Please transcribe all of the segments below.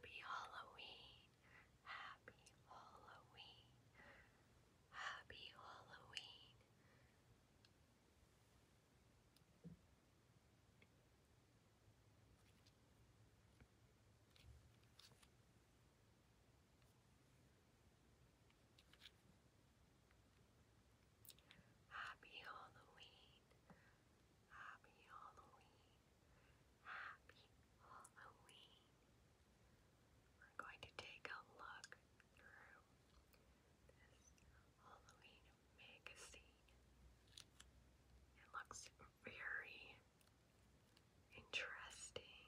Happy Halloween, happy Halloween, happy Halloween, Happy Halloween. Happy Halloween. Happy Halloween. We're going to take a look Halloween magazine. It looks very interesting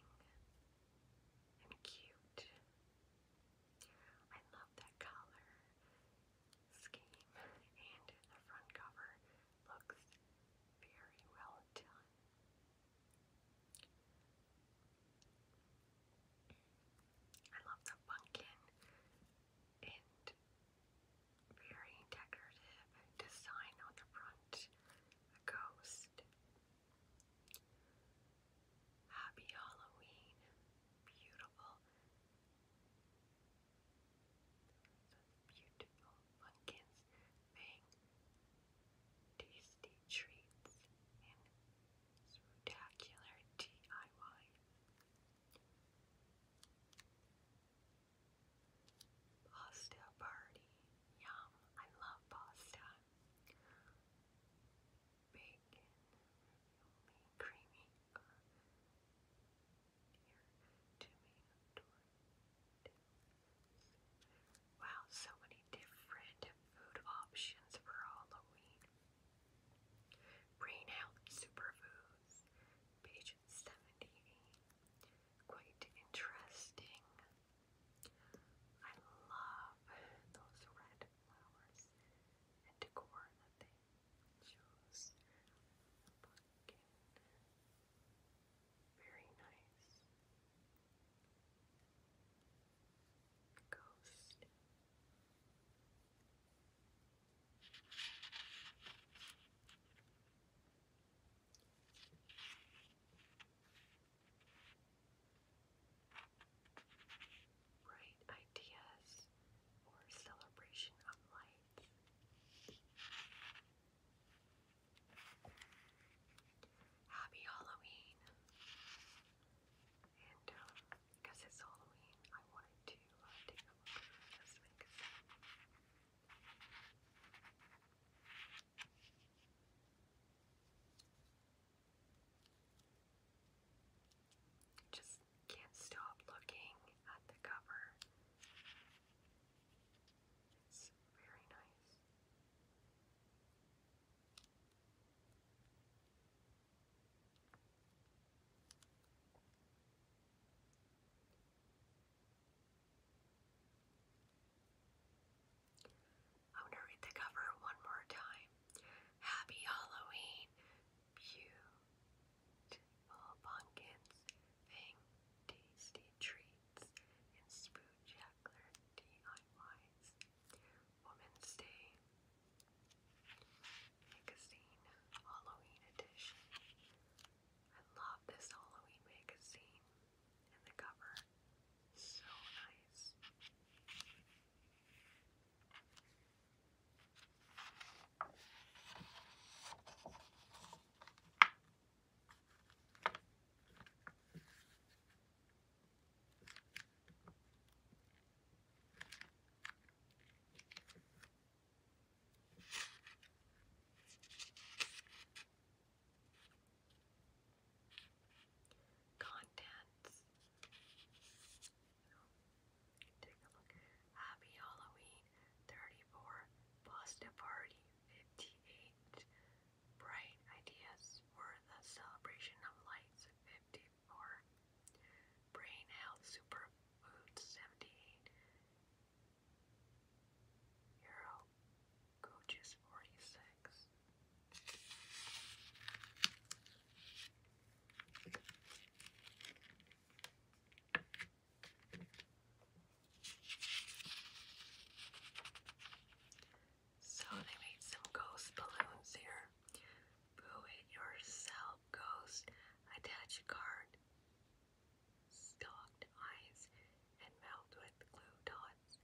and cute. I love that color scheme, and the front cover looks very well done. I love the pumpkin and very decorative design on the front. A ghost. Happy Halloween. Beautiful. Beautiful pumpkins, bang, tasty treats, and Spectacular DIY. Pasta party. Yum. I love pasta. Bacon. creamy. Wow, so many different food options for Halloween. Brain Health Superfoods, page 70. Quite interesting. I love those red flowers and decor that they chose. Very nice ghost. Bright ideas or celebration of light. Happy Halloween. And um, because it's Halloween, I wanted to uh, take a look Just can't stop looking at the cover. It's very nice. I'm to read the cover one more time. Happy Halloween, beautiful pumpkins, tasty treats, and spoon DIYs. Women's Day magazine, Halloween edition. I love this Halloween magazine and the cover. So nice. Contents. Take Happy Halloween 34, Pasta Party 58, bright ideas were the celebration of lights 54, brain health superfood 78, hero coaches 46. So they made some ghost balloons here. Boo it yourself, ghost. Attach a card, stalked eyes, and melt glue dots.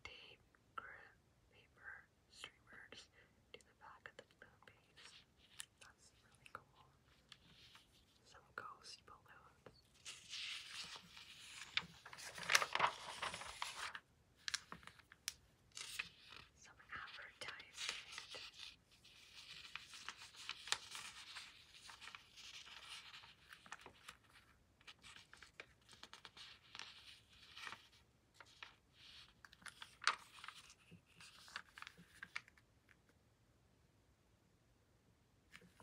Tape, grip, paper, streamers to the back of the balloon base. That's really cool. Some ghost balloons. Some advertisement. So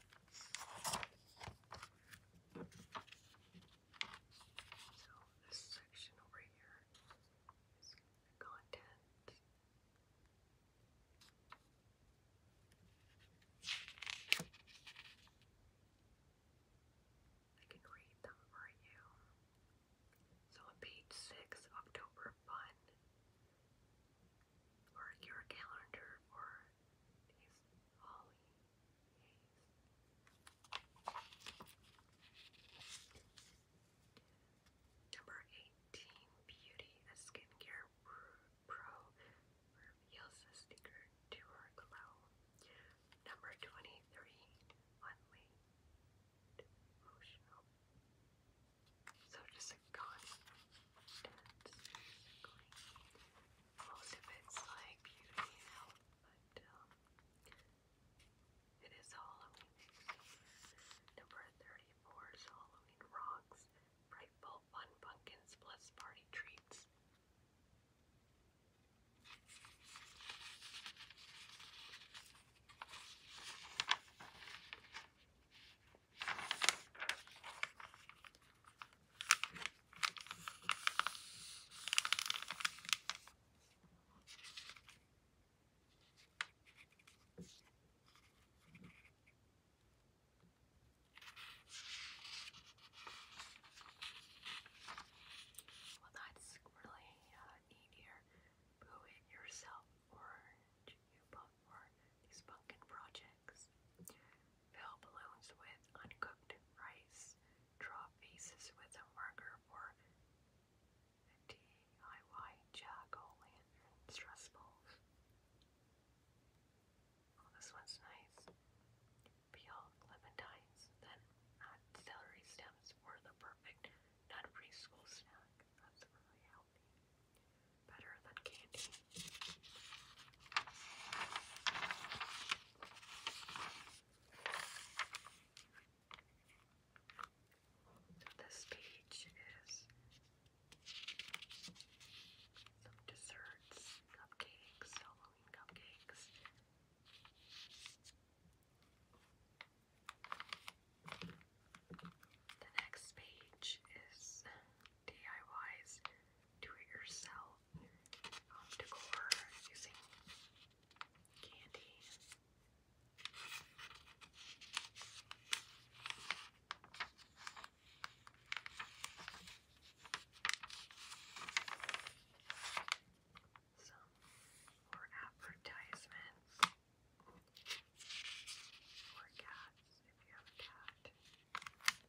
this section over here is content. I can read them for you. So on page six, October Fun, or your calendar for these Holly Number 18 Beauty, a skincare pro, reveals the secret to her glow. Number 23 Unleashed Emotional. So just a constant most of it's like beauty now, but um, it is Halloween. Number 34 is Halloween Rocks, Frightful Fun Pumpkins Plus Party Treats. Well, that's really uh, neat yourself, orange. You bought for these pumpkin projects. Fill balloons with uncooked rice. Draw faces with a marker for DIY jack stress balls. Oh, this one's nice. Peel clementines, then celery stems for the perfect not preschool snack. That's really healthy. Better than candy. So this page is some desserts, cupcakes, Halloween cupcakes. The next page is DIYs, do it yourself home decor using candy. Some more advertisements for cats if you have a cat.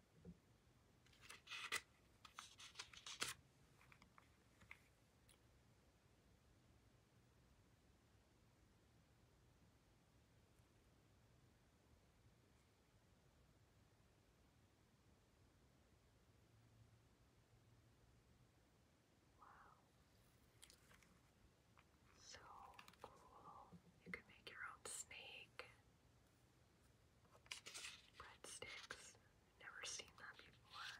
Wow. So cool. You can make your own snake. Breadsticks. Never seen that before.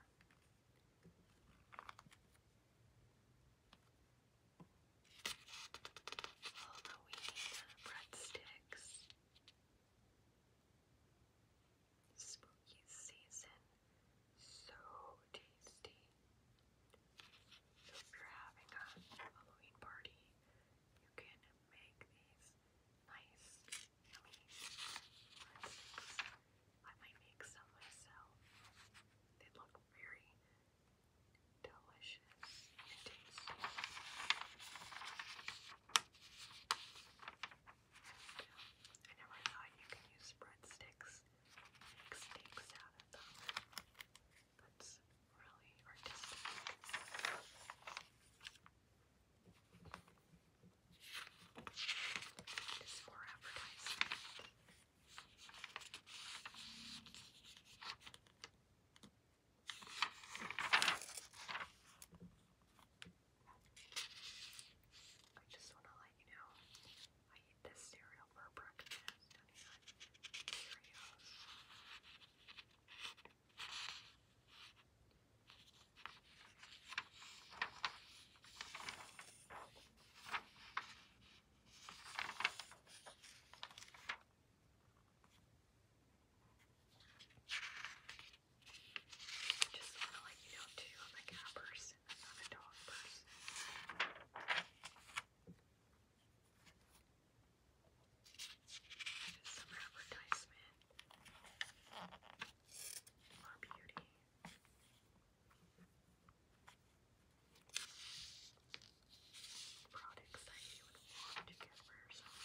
Halloween breadsticks. Spooky season. So tasty. if you're having a Halloween party, you can make these nice, yummy I might make some myself. They look very delicious and tasty. I never thought you could use breadsticks to out of them. That's really artistic. Just I just want to let you know I eat this cereal for breakfast. Cereals. Just want to let you know too, I'm a cat person, I'm not a dog person. There's some advertisement for beauty. Products that you would want to get for yourself.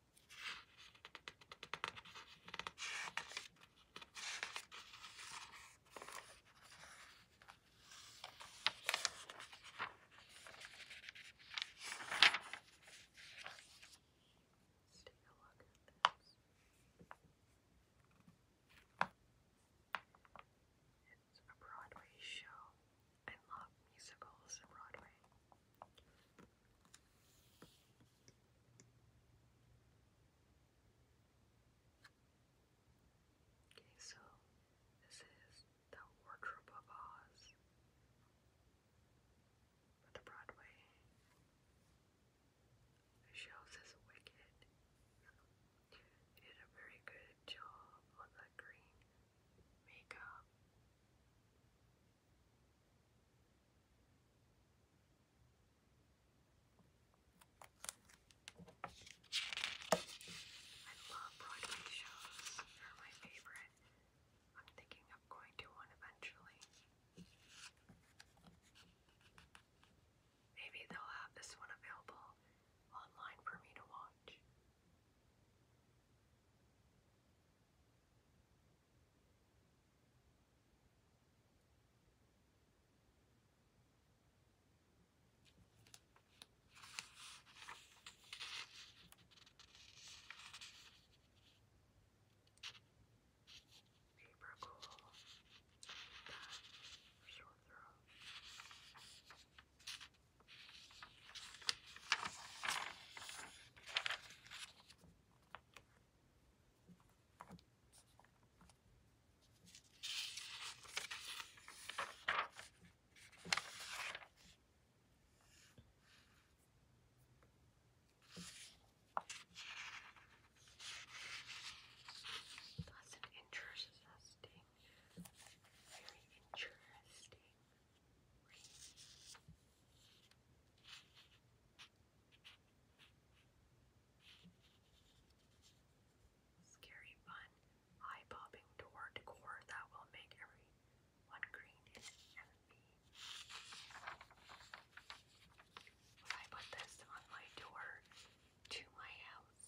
Let's take a look at this. It's a Broadway show. I love musicals Broadway. Okay, so this is The Wardrobe of Oz for the Broadway. shows is wicked. did a very good job on the green makeup. I love Broadway shows. They're my favorite. I'm thinking of going to one eventually. Maybe they'll have this one available online for me to watch. Paper cool. Short throw. That's an interesting, very interesting. Scary, fun, eye popping door decor that will make everyone green and happy. I put this on my door to my house?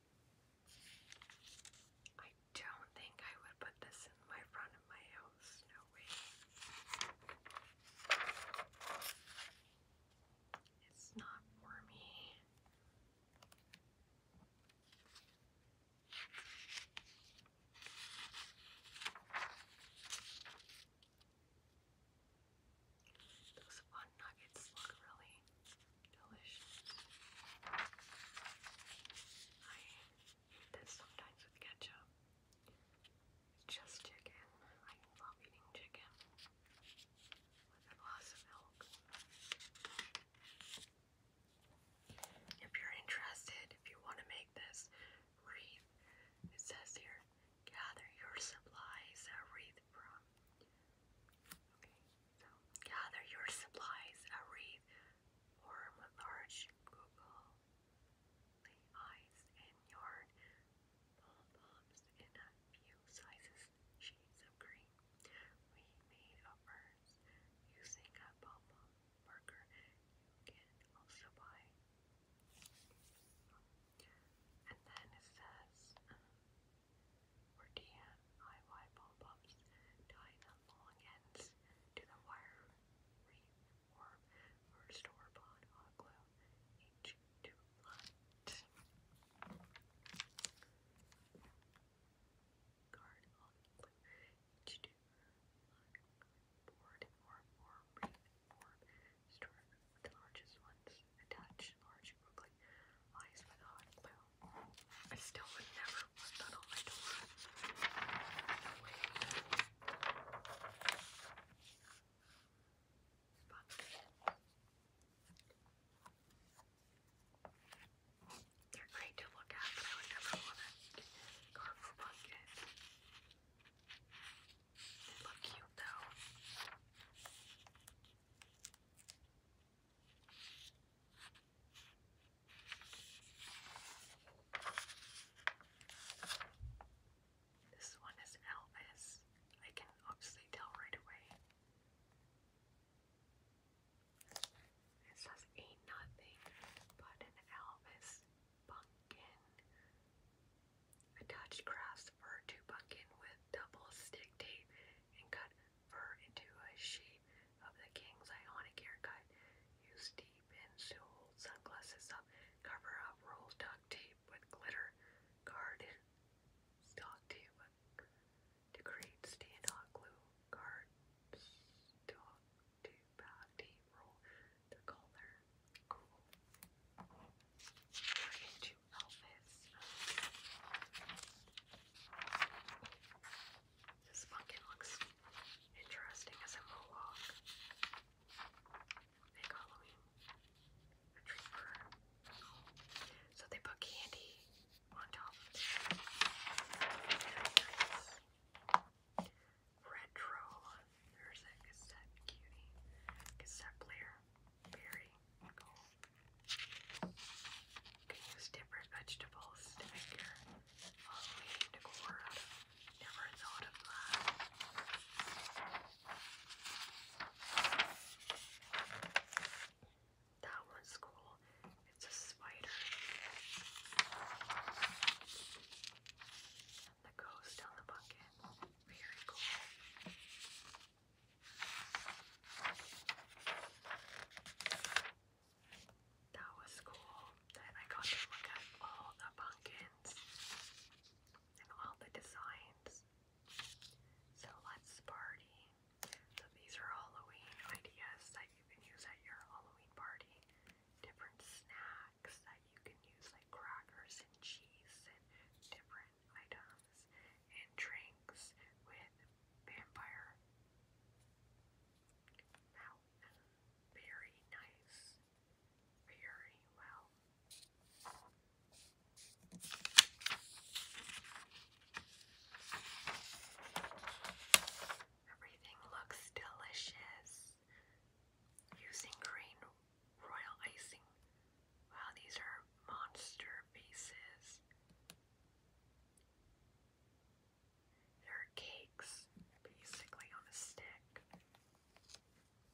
I don't think I would put this in my front of my house. No way. It's not for me. Those fun nuggets look really Delicious. I eat this sometimes with ketchup. just chicken. I love eating chicken with a glass of milk. If you're interested, if you want to make this wreath, it says here gather your supplies, a wreath from. Gather your supplies, a wreath, form large google, lay and yarn, pom-poms in a few sizes, shades of green. We made a urns using a pom-pom marker you can also buy. And then it says, um, or DIY pop-ups tying the long ends to the wire wreath or, or store-bought hot glue, each to light. Card on glue, each to board or, or wreath or store the largest ones, attach large she eyes with hot glue. I still would never put that on my door. they're great to look at, but I would never want to carve bucket. They look cute though. This one is Elvis. I can obviously tell right away. It says ain't nothing but an Elvis pumpkin. Attach crafts fur to pumpkin with double stick tape and cut fur into a shape of the king's ionic haircut. Use deep pins to sunglasses up. Cover up roll duct tape with glitter. Guard duct tape to create stand-on glue. Guard duct tape, roll the color. Cool. We're into outfits. This pumpkin looks interesting as a mohawk. Big Halloween retreat for So they put candy on top. Retro. There's a cassette cutie. Cassette player. Very cool. You can use different vegetables to make your Halloween decor Never thought of that. That one's cool. It's a spider. The ghost on the bucket. Very cool. That was cool that I got to look at all the pumpkins and all the designs. So let's party. So these are Halloween ideas that you can use at your Halloween party. Different snacks that you can use like crackers and cheese and different items and drinks with vampire. Now, very nice, very well. Everything looks delicious. Using green royal icing. Wow, these are monster faces. They're cakes, basically on a stick.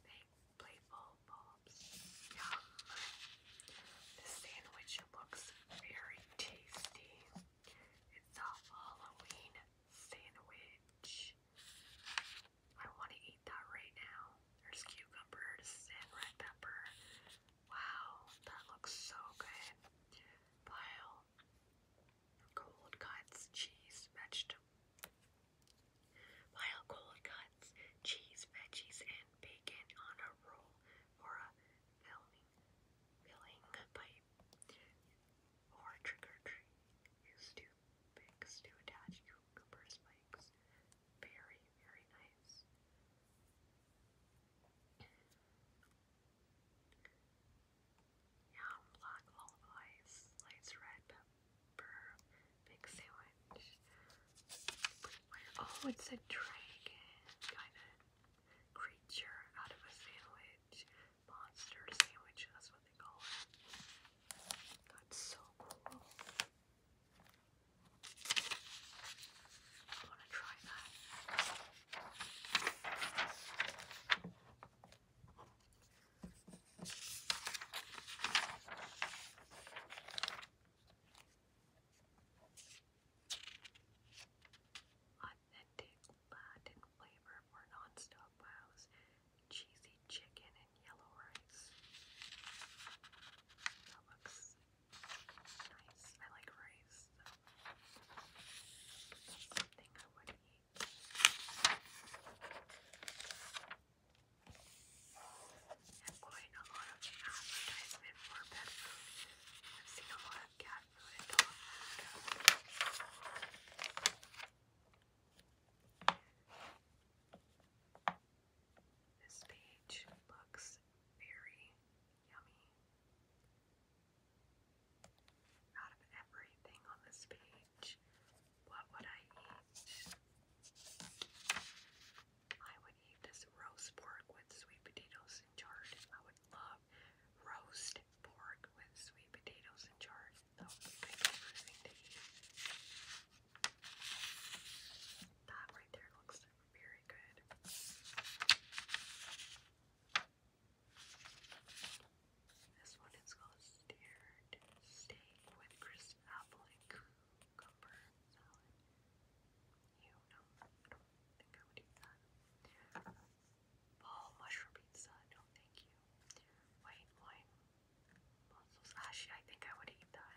They play Yum. The sandwich looks very tasty. It's a Halloween sandwich. I want to eat that right now. There's cucumbers and red pepper Wow, that looks so good. Pile. Cold cuts, cheese, vegetables. Pile cold cuts, cheese, veggies, and bacon on a roll or a filling, filling pipe. Or trick or treat. Use two picks to attach cucumber spikes. Very, very nice. Yeah, black lullabies, lights red pepper, big sandwich. Oh, it's a dragon kind of creature out of a sandwich. Monster sandwich, that's what they call it. That's so cool. Authentic Latin flavor for non-stop cheesy chicken and yellow rice. That looks Nice. I like rice. Something I would eat. And quite a lot of advertisement for pet food. I've seen a lot of cat food. This page looks very yummy. Out of everything on this page, what I eat? I would eat this roast pork with sweet potatoes and chard. I would love roast pork with sweet potatoes and chard. That right there looks very good. This one is called Steered Steak with Crisp Apple and Cucumber Salad. You know, I don't think I would eat that. Paul Mushroom Pizza, no thank you. White wine mussels. Actually, I think I would eat that.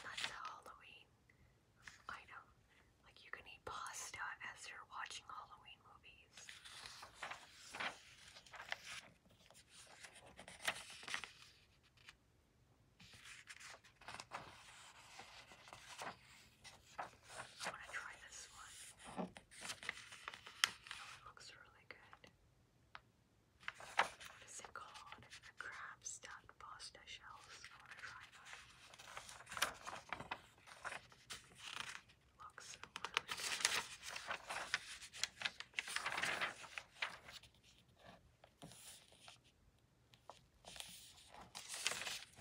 That's a Halloween item. Like you can eat pasta as you're watching Halloween movies. I want to try this one. looks really good. Is it called a crab pasta shells? Looks really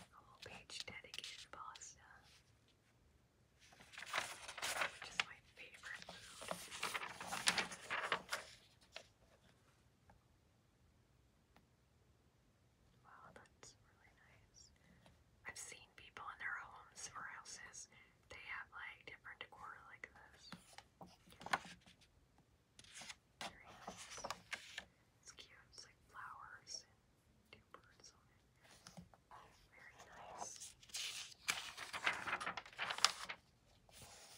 whole page dedicated pasta my favorite Wow, that's really nice. I've seen people in their homes or houses, they have like different decor like this. It's cute, like flowers and two birds on it. Very nice.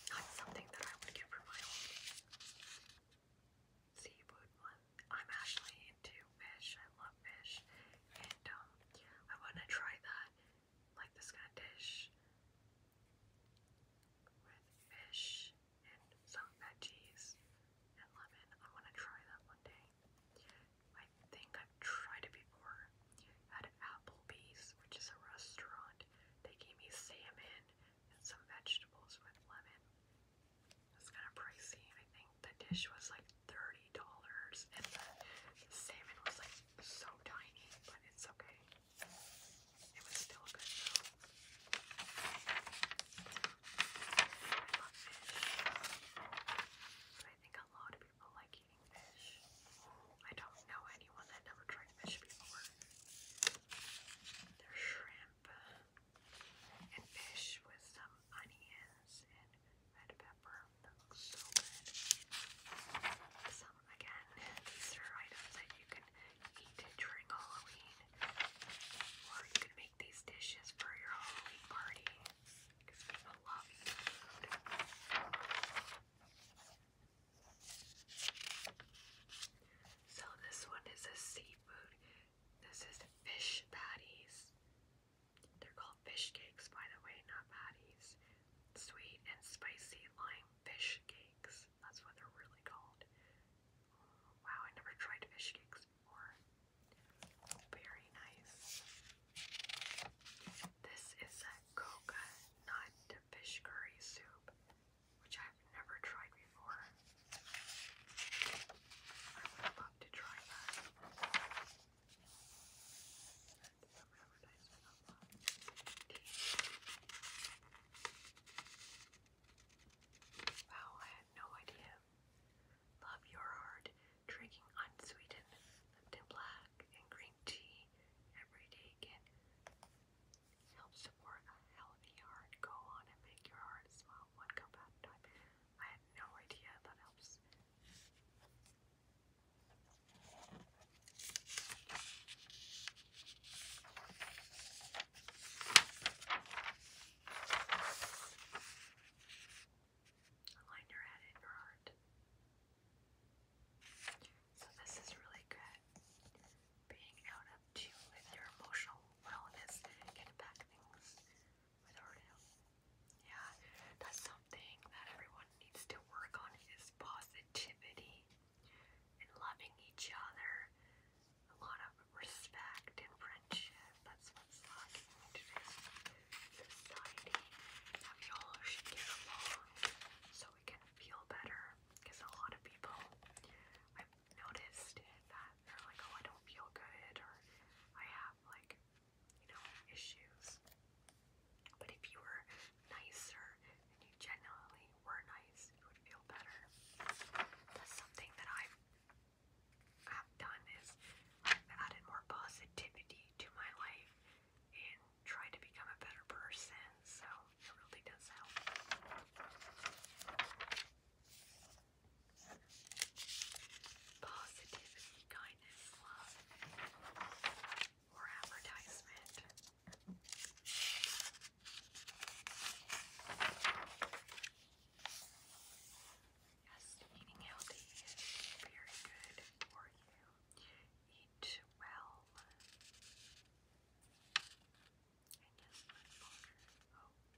Not something that I would get for my seafood one. I'm actually into fish. I love fish. And um, I want to try that, like this kind of dish with fish and some veggies and lemon. I want to try that one day. I think I've tried it before, at Applebee's, which is a restaurant. They gave me salmon and some vegetables with lemon. It's kind of pricey. I think the dish was like thirty dollars, and the salmon was like so tiny, but it's okay. It was still good though. but I think a lot of people like I don't know anyone that never tried fish before. There's shrimp and fish with some onions and red pepper. That looks so good. again, these are items that you can eat during Halloween. Or you can make these dishes for your Halloween party. people love food. So this one is a seafood. This is fish patties. They're called fish cakes, by the way, not patties. Sweet and spicy lime fish cakes. That's what they're really called. Wow, I never tried fish cakes before. Very nice. This is a coconut fish curry soup, which I've never tried before. love to try that. Wow, I had no idea. Love your heart drinking unsweetened Lipton Black and green tea every day can help support a healthy heart. Go on and make your heart smile one cup a time. I had no idea that helps a liner added or aren't. So this is really good. Being out to you with your emotional wellness, getting back things Yeah, that's something that everyone needs to work on is positivity and loving each other. A lot of respect and friendship. That's what's lacking in society that we all should get along so we can feel better. Because a lot of people, i noticed that they're like, oh, I don't feel good, or I have like, you know, issues. But if you were nicer and you genuinely were nice, you would feel better. That's something that I've have done is added more positivity to my life and try to become a better person. So it really does help. Positivity, kindness, love, or advertisement. Yes, eating healthy is very good for you. Eat well.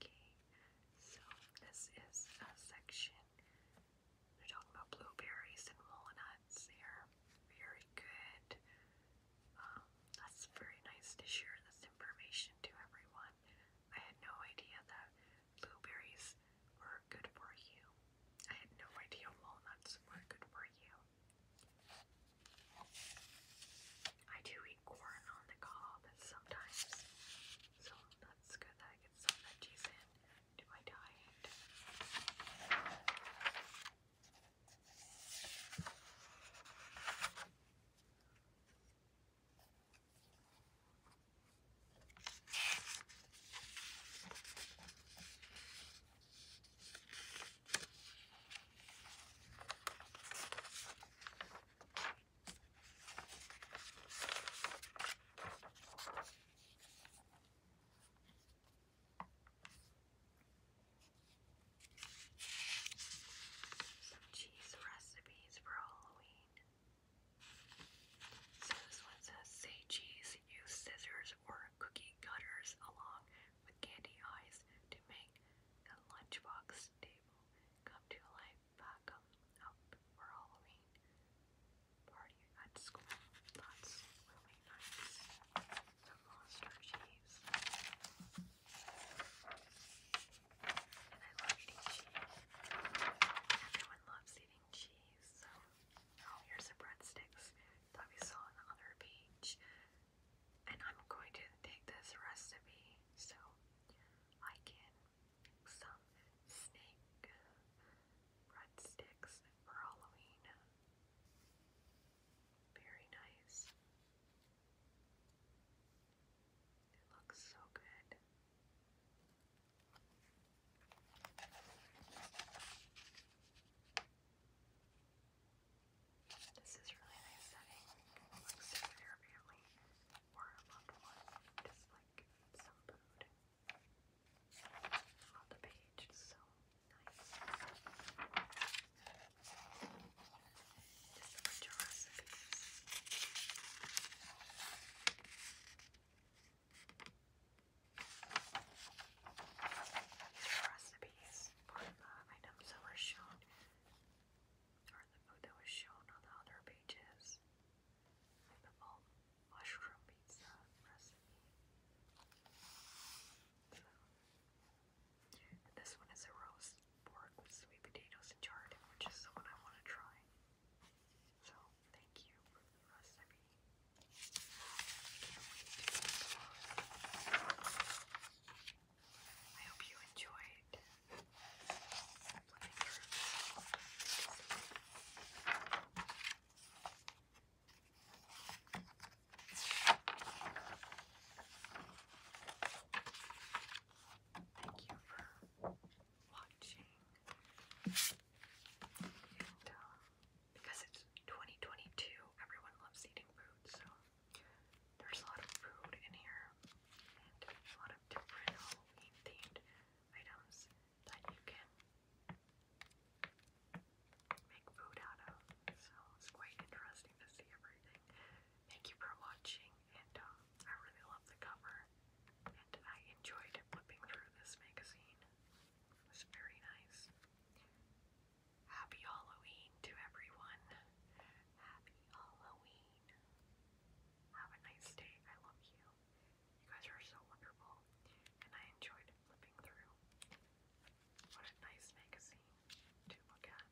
Okay, so this is a section. We're talking about blueberries and walnuts. They're very good. Um, that's very nice to share this information to everyone. I had no idea that blueberries were good for you. I had no idea walnuts were good for you. I do eat corn on the cob sometimes, so that's good that I get some veggies in to my diet. Some cheese recipes for Halloween. So this one says, say use scissors or cookie cutters along with candy eyes to make the lunchbox table come to life. Back up, for Halloween party at school. That's really nice. The monster cheese. And I love cheese. Everyone loves eating cheese. Oh, here's the breadsticks that we saw on the other page. And I'm going to take this recipe so I can make some snake breadsticks for Halloween. Very nice. It looks so good. This is really nice setting. Like sit your family a loved one. Just like some food on the page. so nice. Just a these recipes for the items that were shown, or the food that was shown on the other pages, the mushroom pizza recipe. this one is a roast pork with sweet potatoes and chard, which is the one I want to try. So, thank you for the recipe. I hope you enjoyed Thank you for watching. because it's 2022, everyone loves eating food, so there's a lot of food in here and a lot of different Halloween themed items that you can make food out of. So it's quite interesting to see everything. Thank you for watching, and uh, I really love the cover and I enjoyed flipping through this magazine. It was very nice. Happy Halloween to everyone. Happy Halloween. Have a nice day. I love you. You guys are so wonderful, and I enjoyed flipping through. What a nice magazine to look at.